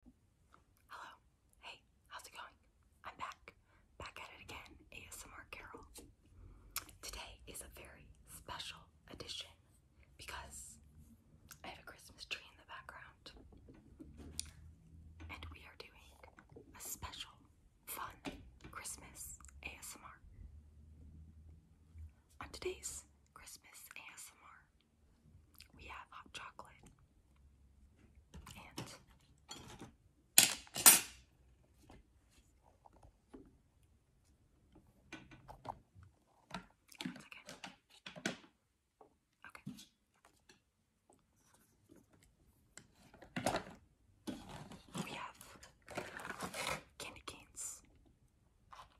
Hello. Hey, how's it going? I'm back. Back at it again, ASMR Carol. Today is a very special edition because I have a Christmas tree in the background. And we are doing a special, fun Christmas ASMR. On today's Christmas ASMR, we have hot chocolate and once again. Okay. We have candy canes.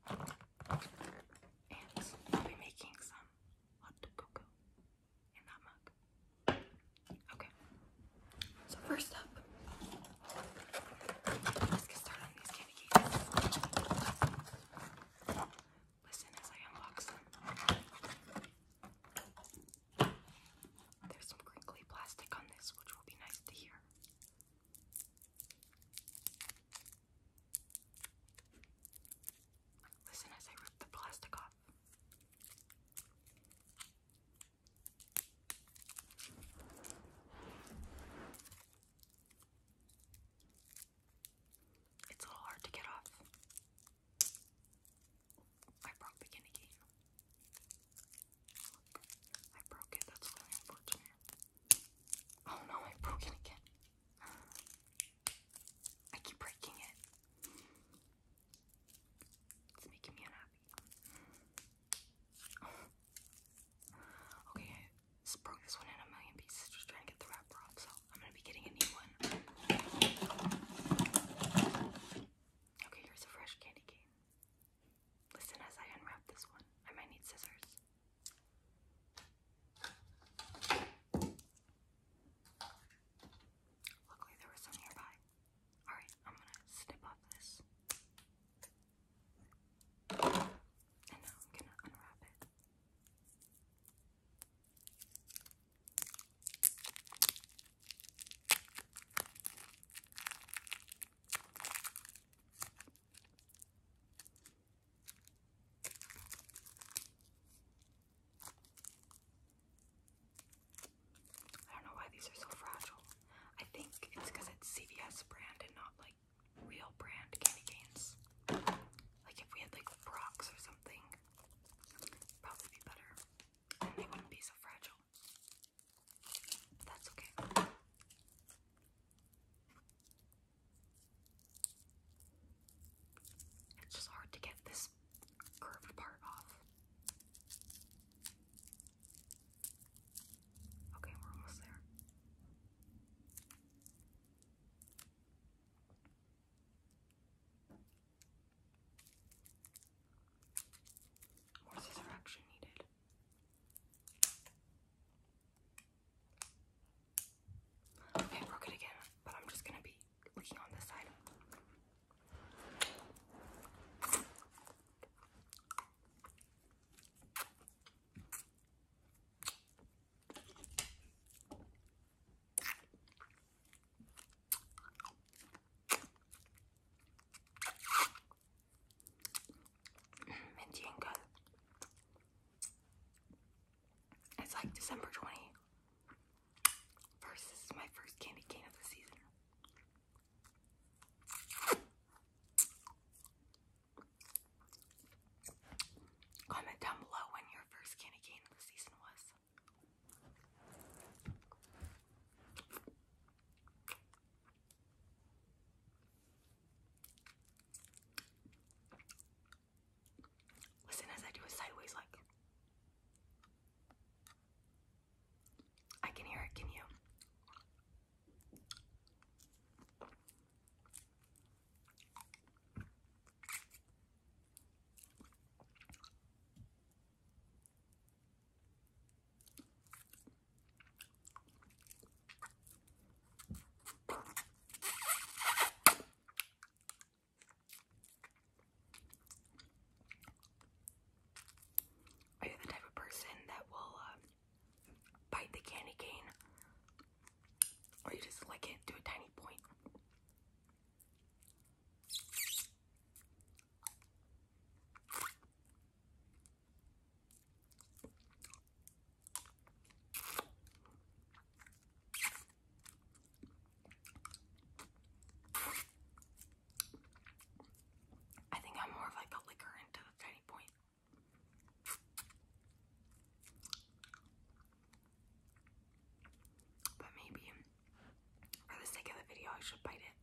And I'll be making some Okay, so first up, let's get started on these candy Listen as I unbox them. There's some crinkly plastic on this, which will be nice to hear. Listen as I rip the plastic off. It's a little hard to get off. I broke the guinea game. I broke it, that's really unfortunate. Oh no, I broke it again. I keep breaking it. It's making me unhappy. Okay, I broke this one in a million pieces just trying to get the wrapper off, so I'm gonna be getting a new one. Okay, here's a fresh candy cane. Listen as I unwrap this one. I might need scissors. Luckily, there was some nearby. Alright, I'm gonna snip off this. And now I'm gonna unwrap it. I don't know why these are so fragile. I think it's because it's CVS brand and not like real brand candy canes. Like if we had like Brock's or something, probably be better. they wouldn't be so fragile. That's okay. It's just hard to get this curved part off. Okay, we're almost there. More scissor needed. Okay, I broke it again, but I'm just gonna be looking on this side minty and good. It's like December 20. First, my first candy cane of the season. Comment down below when your first candy cane of the season was. Listen as I do it sideways like. I can hear it, can you? Are you the type of person that will uh, bite the candy cane? Or you just lick it to a tiny point? I think I'm more of like a liquor into the tiny point. But maybe for the sake of the video I should bite it.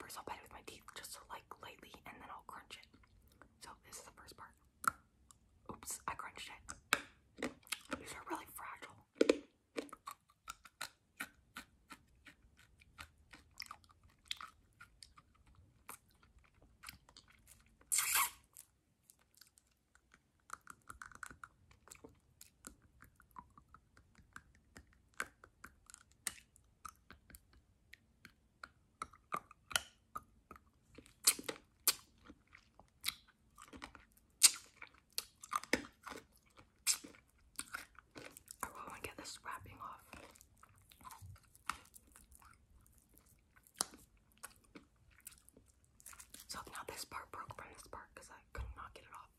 First I'll bite it with my teeth just like lightly and then I'll crunch it. So this is the first part. Oops, I crunched it. These are really fragile. I want to get this wrapping off. So now this part broke from this part because I could not get it off.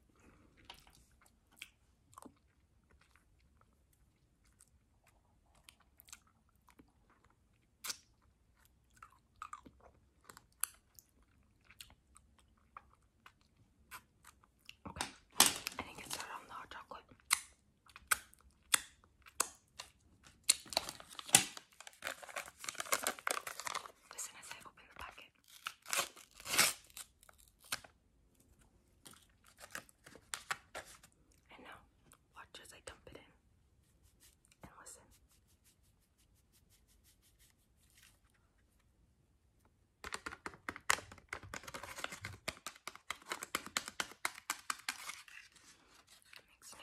Okay, I think it's started on the hot chocolate. Listen as I open the packet. And now, watch as I dump it in. And listen. makes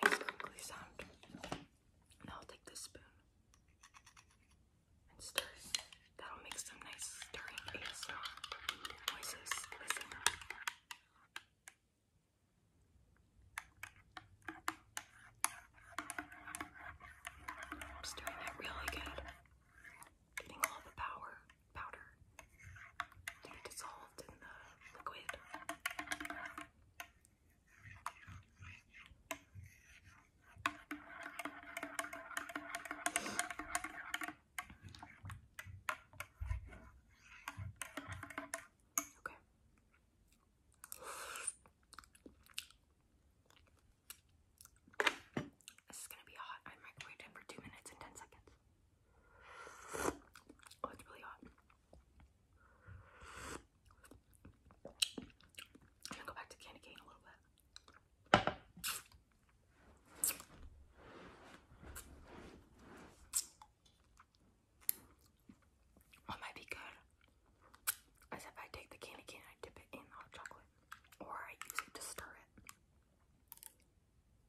nice crinkly sound. Now I'll take this spoon and stir That'll make some nice stirring ASMR. I'm just doing it really good. Getting all the power powder to be dissolved in the liquid. Okay. This is gonna be hot. I microwaved it for two minutes and ten seconds. Oh, it's really hot. I'm gonna go back to candy cane a little bit. What might be good is if I take the candy cane and I dip it in hot chocolate, or I use it to stir it.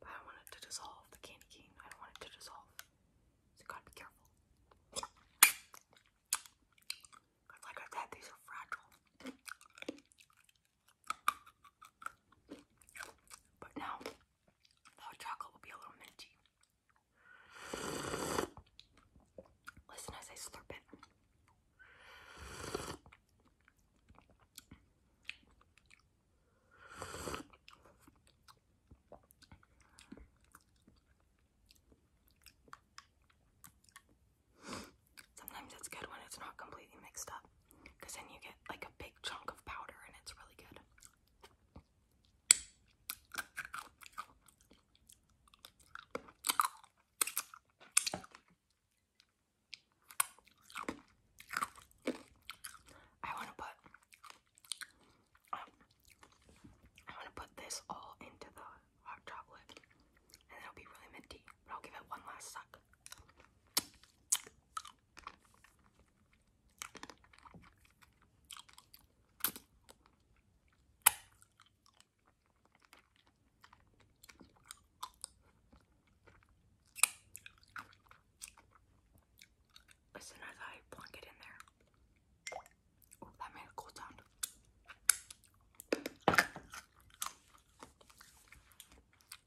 But I don't want it to dissolve the candy cane. I don't want it to dissolve. So gotta be careful. like I said, these are fragile. But now, hot chocolate will be a little minty. Listen as I slurp it. Sometimes it's good when it's not completely mixed up because then you get like a big chunk of powder and it's really good. I want to put I want to put this all into the hot chocolate and it'll be really minty. I'll give it one last suck. As as I plunk it in there, oh, that made a cool sound.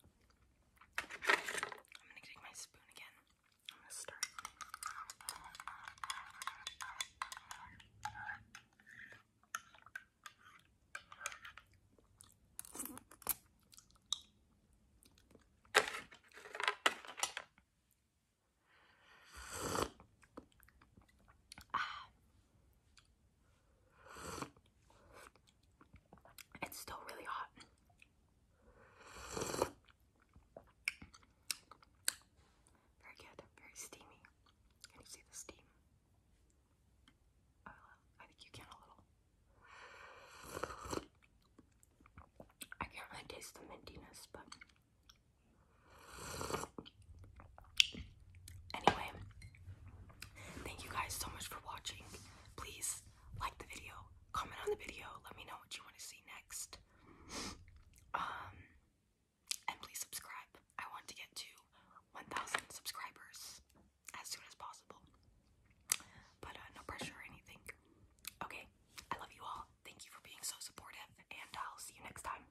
I'm gonna take my spoon again. I'm gonna start. ah, it's still really hot. Very good, very steamy. Can you see the steam? Oh, I think you can a little. I can't really taste the mintiness, but Anyway, thank you guys so much for watching. Please like the video, comment on the video, let me know what you want to see next. Um, and please subscribe. I want to get to 1,000 subscribers as soon as possible. But uh, no pressure or anything. Okay, I love you all. Thank you for being so supportive, and I'll see you next time.